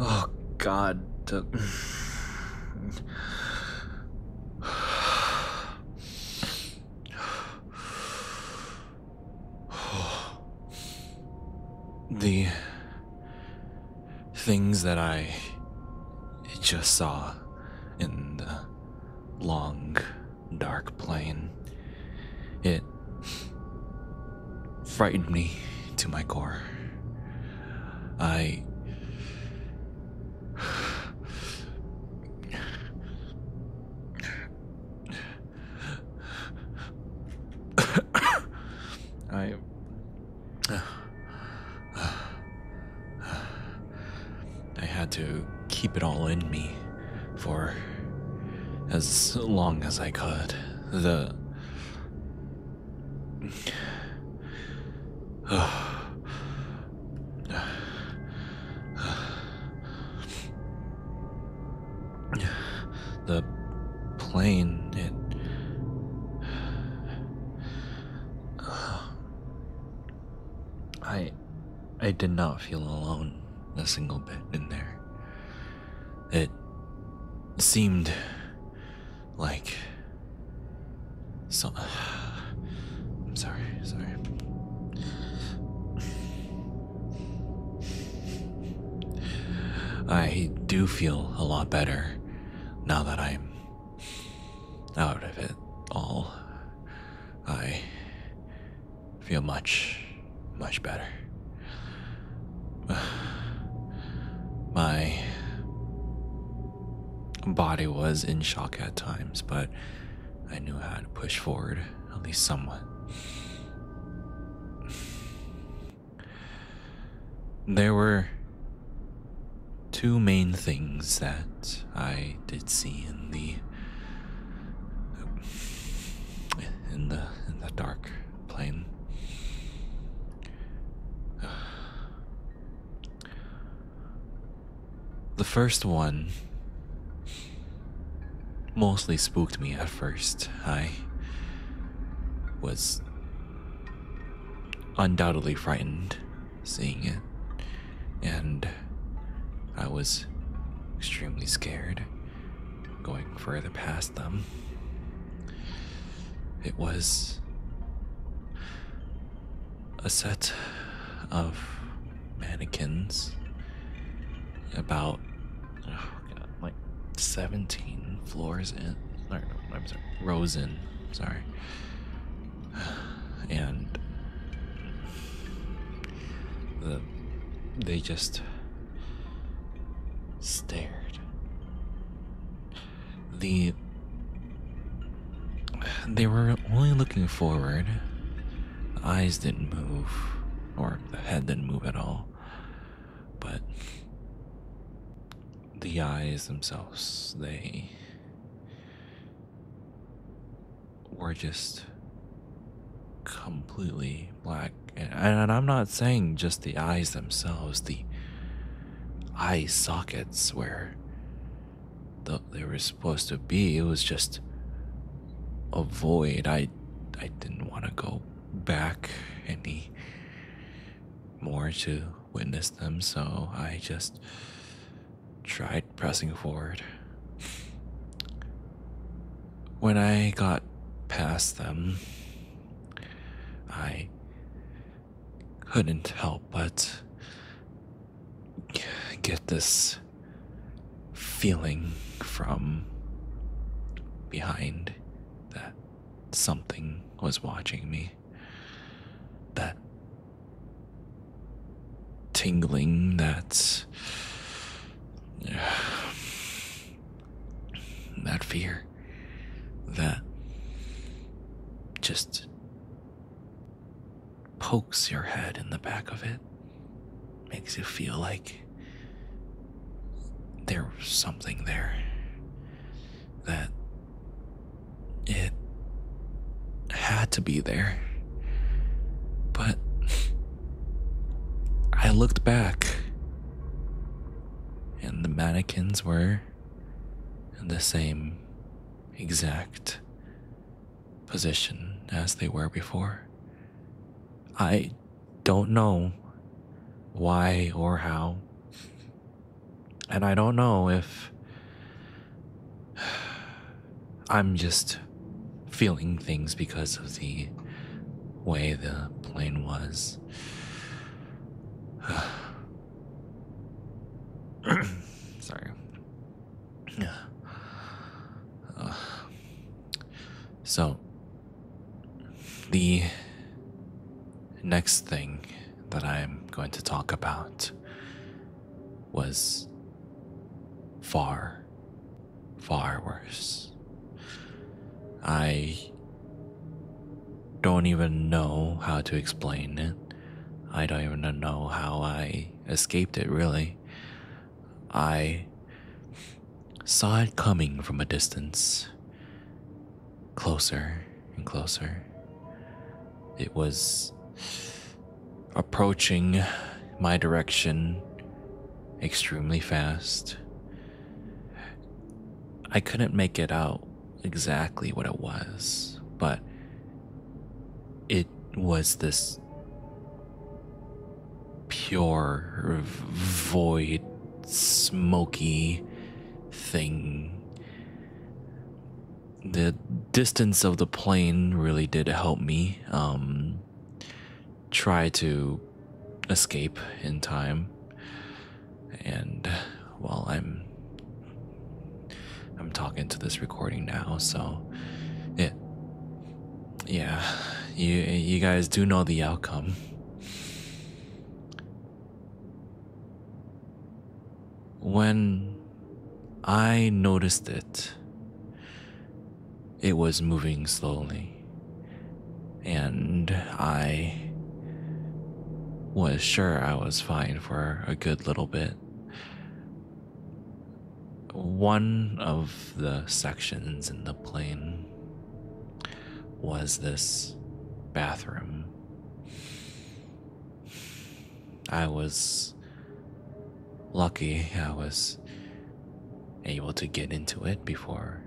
oh, God. the things that I just saw in the long, dark plane. It frightened me to my core. I. I I had to keep it all in me for as long as I could. The. The plane, it. I I did not feel alone a single bit in there. It seemed like so I'm sorry, sorry. I do feel a lot better now that I'm out of it all, I feel much, much better. My body was in shock at times, but I knew how to push forward, at least somewhat. There were Two main things that I did see in the in the in the dark plane. The first one mostly spooked me at first. I was undoubtedly frightened seeing it, and I was extremely scared going further past them. It was a set of mannequins about oh God, like 17 floors in or, I'm sorry, Rosen. Sorry. And the they just stared. The they were only looking forward. The eyes didn't move, or the head didn't move at all. But the eyes themselves, they were just completely black. And, I'm not saying just the eyes themselves, the eye sockets where they were supposed to be, it was just a void. I, I didn't want to go back any more to Witnessed them, so I just tried pressing forward. When I got past them, I couldn't help but get this feeling from behind that something was watching me. That tingling, that. That fear. That just pokes your head in the back of it. Makes you feel like there's something there that it had to be there. But I looked back, and the mannequins were in the same exact position as they were before. I don't know why or how and I don't know if I'm just feeling things because of the way the plane was. Sorry. Uh, so, the next thing that I'm going to talk about was far, far worse. I don't even know how to explain it. I don't even know how I escaped it, really. I saw it coming from a distance closer and closer. It was approaching my direction extremely fast. I couldn't make it out exactly what it was, but it was this pure, void, smoky thing. The distance of the plane really did help me um, try to escape in time. And while I'm I'm talking to this recording now, so it yeah, you you guys do know the outcome. When I noticed it, it was moving slowly, and I was sure I was fine for a good little bit. One of the sections in the plane was this bathroom. I was lucky I was able to get into it before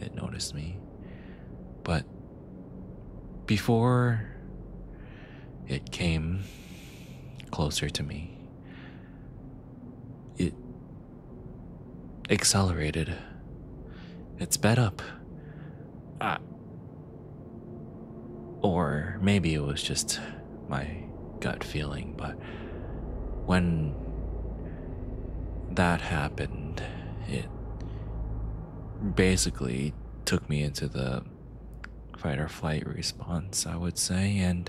it noticed me. But before it came closer to me, it accelerated. It sped up. or maybe it was just my gut feeling, but when that happened, it basically took me into the fight or flight response, I would say, and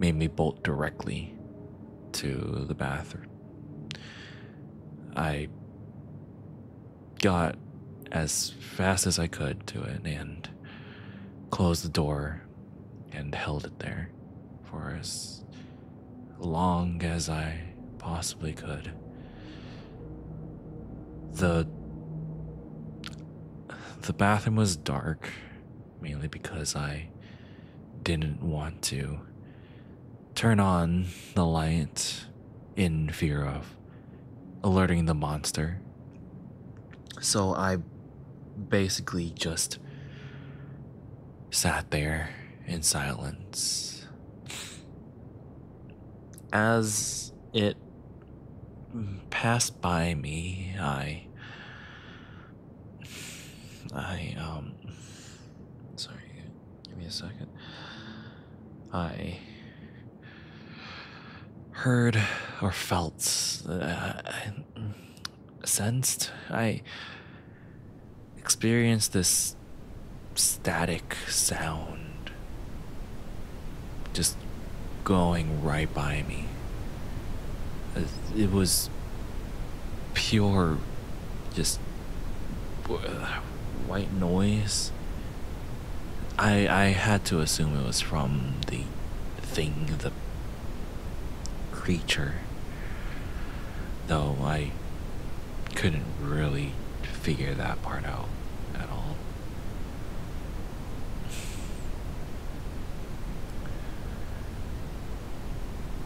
made me bolt directly to the bathroom I got as fast as I could to it and closed the door and held it there for as long as I possibly could. The the bathroom was dark mainly because I didn't want to turn on the light in fear of alerting the monster. So I basically just sat there in silence. As it passed by me, I. I, um. Sorry, Give me a second. I heard or felt, uh, sensed, I experienced this static sound just going right by me. It was pure just white noise. I I had to assume it was from the thing, the creature. Though I couldn't really figure that part out at all.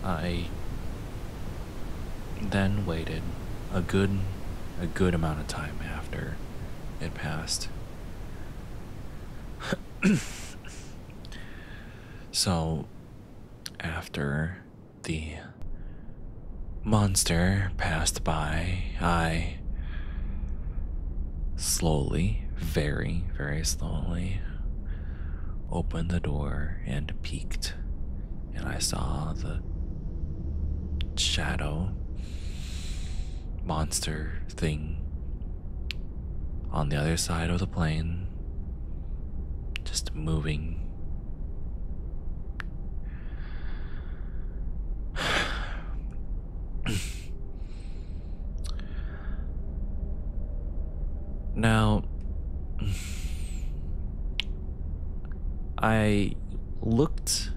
I then waited a good a good amount of time after it passed. so after the monster passed by, I slowly, very, very slowly opened the door and peeked, and I saw the shadow monster thing on the other side of the plane just moving. now, I looked.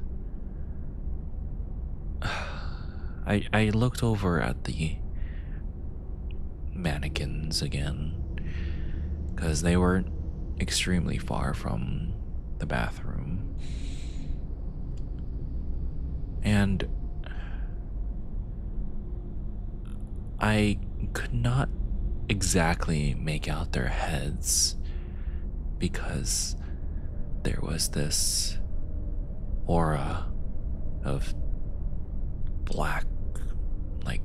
I, I looked over at the mannequins again because they were extremely far from the bathroom. And I could not exactly make out their heads because there was this aura of black, like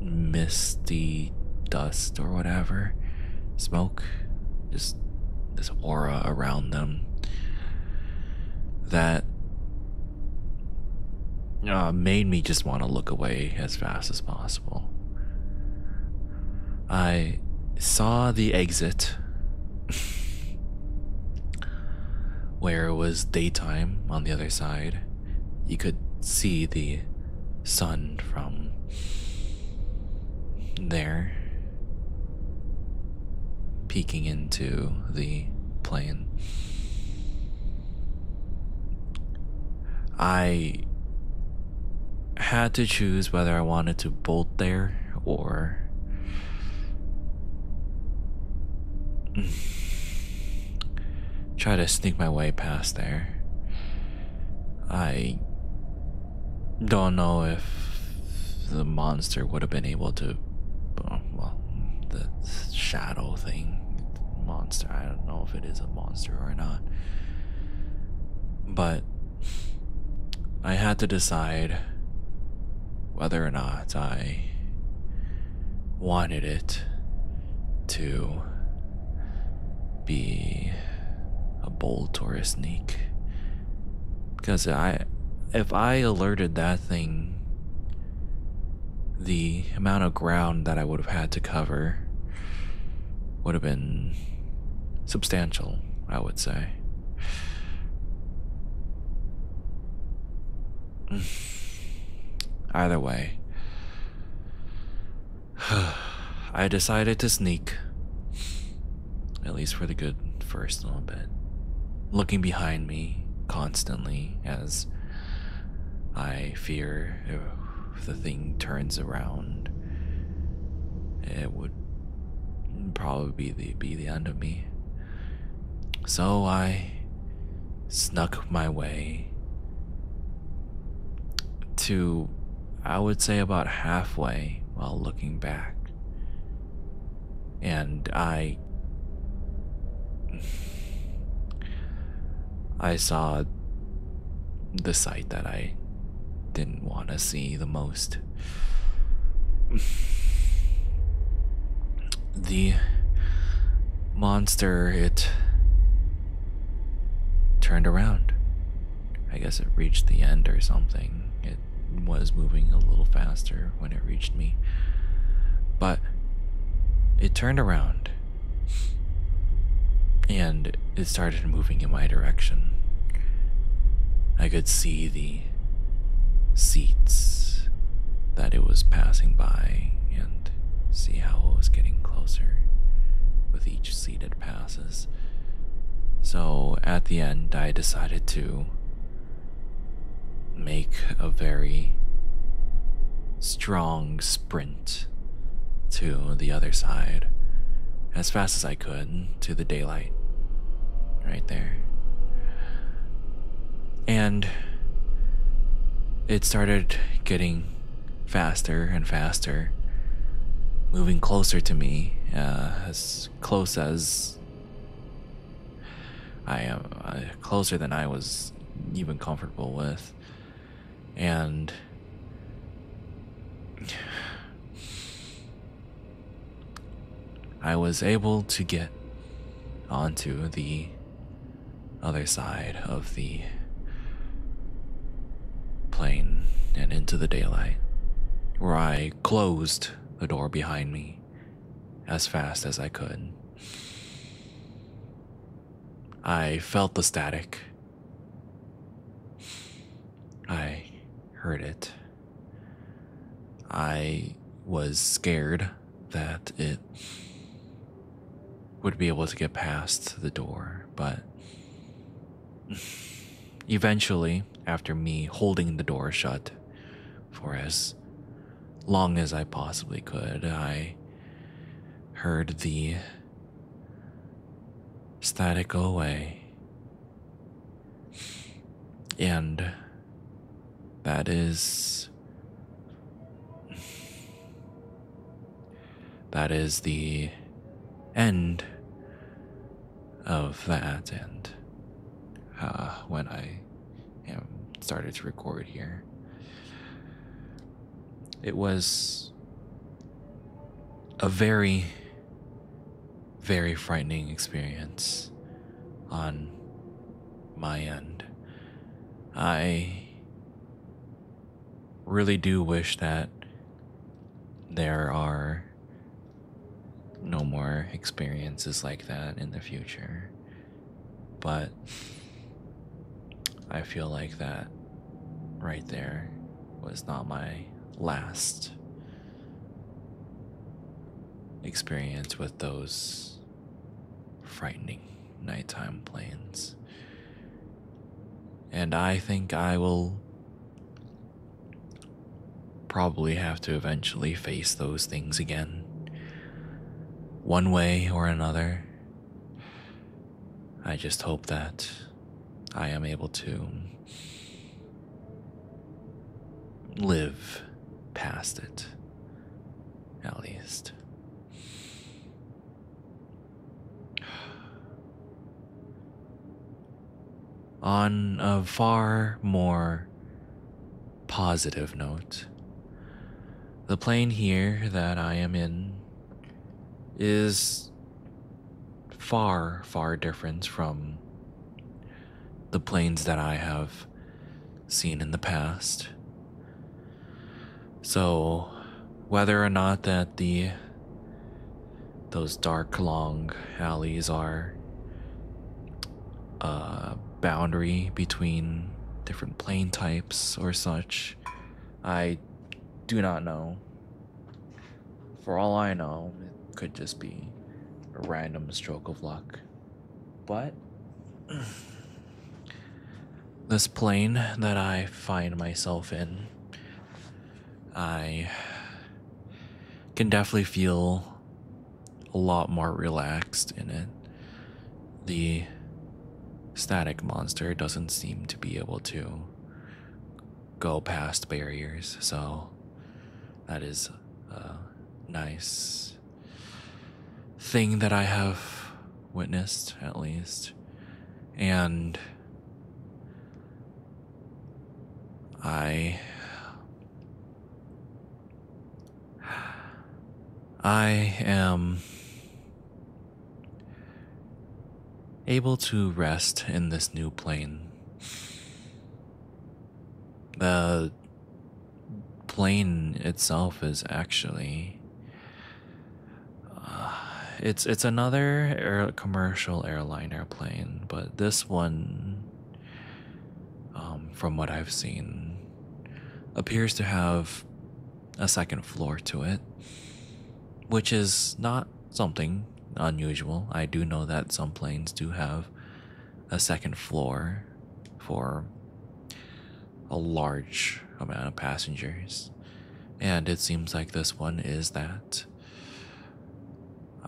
misty dust or whatever, smoke, just this aura around them that uh, made me just want to look away as fast as possible. I saw the exit where it was daytime on the other side. You could see the sun from there peeking into the plane. I had to choose whether I wanted to bolt there or. Try to sneak my way past there. I don't know if the monster would have been able to. Well, the shadow thing monster. I don't know if it is a monster or not. But I had to decide whether or not I wanted it to be a bold or a sneak. Because I, if I alerted that thing the amount of ground that I would have had to cover would have been substantial, I would say. Either way, I decided to sneak, at least for the good first little bit, looking behind me constantly as I fear if the thing turns around, it would probably be the, be the end of me. So I snuck my way to, I would say, about halfway while looking back. And I I saw the sight that I didn't want to see the most. The monster, it turned around. I guess it reached the end or something. It was moving a little faster when it reached me, but it turned around and it started moving in my direction. I could see the seats that it was passing by and see how it was getting closer with each seat it passes. So at the end, I decided to make a very strong sprint to the other side as fast as I could to the daylight right there. And it started getting faster and faster, moving closer to me, uh, as close as I am uh, closer than I was even comfortable with, and I was able to get onto the other side of the plane and into the daylight, where I closed the door behind me as fast as I could. I felt the static. I heard it. I was scared that it would be able to get past the door, but eventually, after me holding the door shut for as long as I possibly could. I heard the static go away. And that is. That is the end of that, and uh, when I and started to record here. It was a very, very frightening experience on my end. I really do wish that there are no more experiences like that in the future. But I feel like that right there was not my last experience with those frightening nighttime planes. And I think I will probably have to eventually face those things again one way or another. I just hope that I am able to live past it, at least. On a far more positive note, the plane here that I am in is far, far different from the planes that I have seen in the past. So, whether or not that the those dark long alleys are a uh, boundary between different plane types or such. I do not know. For all I know, it could just be a random stroke of luck. But this plane that I find myself in, I can definitely feel a lot more relaxed in it. The static monster doesn't seem to be able to go past barriers, so that is a nice thing that I have witnessed, at least. And I I am able to rest in this new plane. The plane itself is actually uh, it's it's another commercial airline airplane, but this one um, from what I've seen, appears to have a second floor to it, which is not something unusual. I do know that some planes do have a second floor for a large amount of passengers, and it seems like this one is that.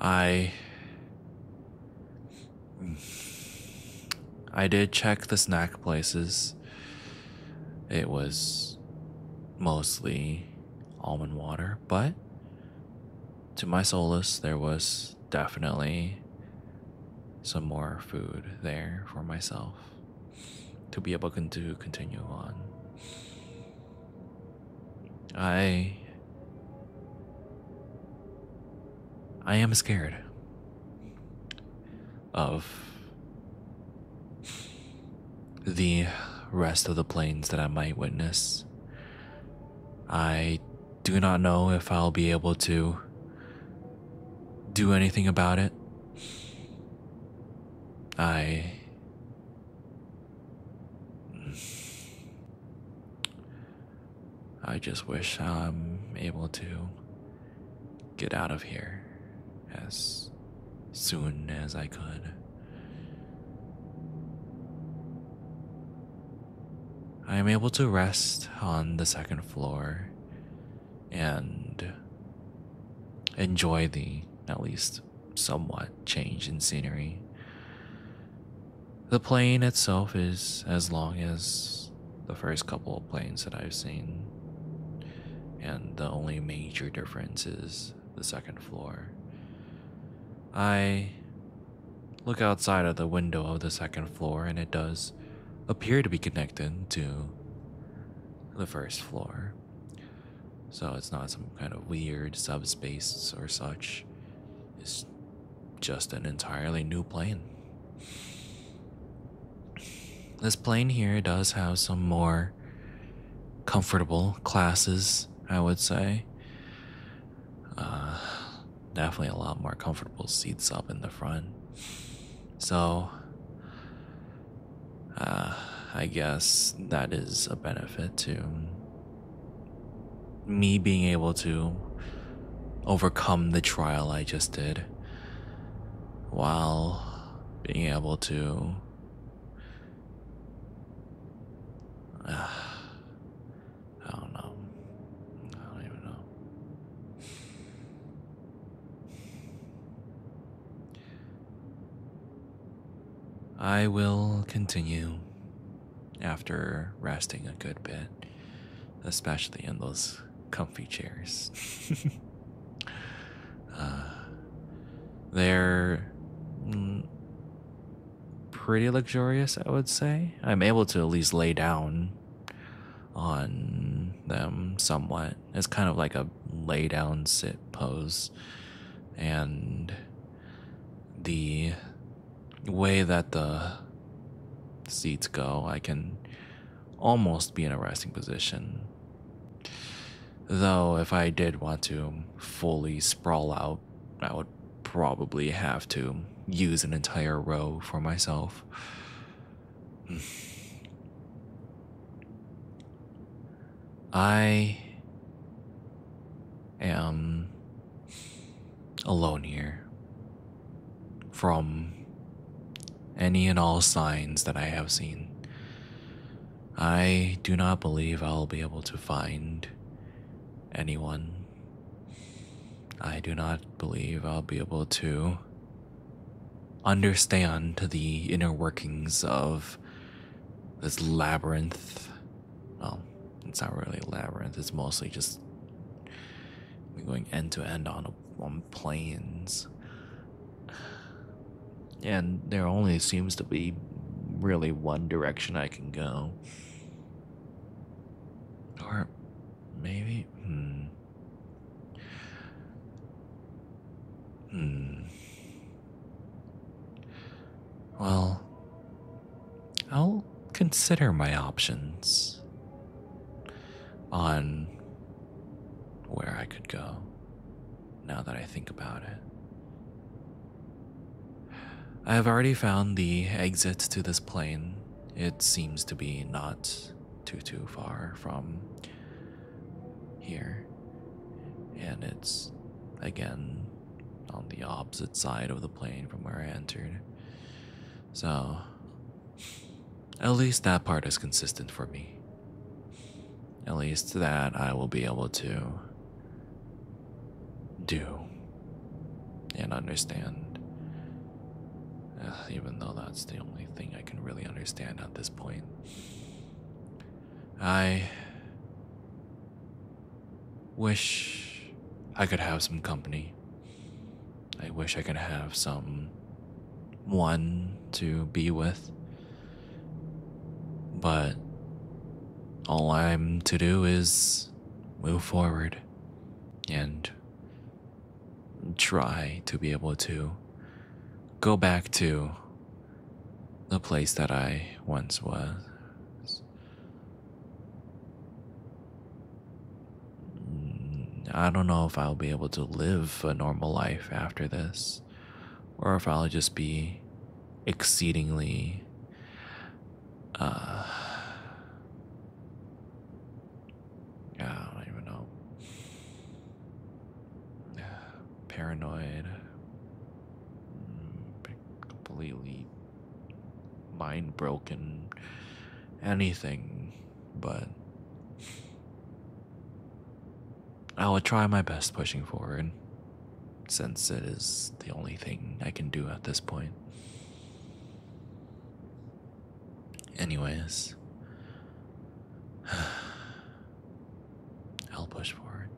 I I did check the snack places. It was mostly almond water, but to my solace, there was definitely some more food there for myself to be able to continue on. I I am scared of the rest of the planes that I might witness. I do not know if I'll be able to do anything about it. I. I just wish I'm able to get out of here as soon as I could. I am able to rest on the second floor and enjoy the at least somewhat change in scenery. The plane itself is as long as the first couple of planes that I've seen, and the only major difference is the second floor. I look outside of the window of the second floor, and it does appear to be connected to the first floor. So it's not some kind of weird subspace or such. It's just an entirely new plane. This plane here does have some more comfortable classes, I would say. Uh, definitely a lot more comfortable seats up in the front. So, uh, I guess that is a benefit to me being able to overcome the trial I just did while being able to uh, I don't know. I don't even know. I will continue after resting a good bit, especially in those comfy chairs. Uh, they're mm, pretty luxurious, I would say. I'm able to at least lay down on them somewhat. It's kind of like a lay down sit pose. And the way that the seats go, I can almost be in a resting position. Though, if I did want to fully sprawl out, I would probably have to use an entire row for myself. I am alone here from any and all signs that I have seen. I do not believe I'll be able to find anyone. I do not believe I'll be able to understand the inner workings of this labyrinth well, it's not really a labyrinth. It's mostly just going end to end on on planes. And there only seems to be really one direction I can go. Or maybe Hmm. hmm. Well, I'll consider my options on where I could go now that I think about it. I have already found the exit to this plane. It seems to be not too too far from here. And it's again on the opposite side of the plane from where I entered. So, at least that part is consistent for me. At least that I will be able to do and understand. even though that's the only thing I can really understand at this point. I wish I could have some company. I wish I could have some one to be with. But all I'm to do is move forward and try to be able to go back to the place that I once was. Mm, I don't know if I'll be able to live a normal life after this, or if I'll just be exceedingly uh, I don't even know. Paranoid, mm, completely mind broken, anything, but I will try my best pushing forward since it is the only thing I can do at this point. Anyways, I'll push forward.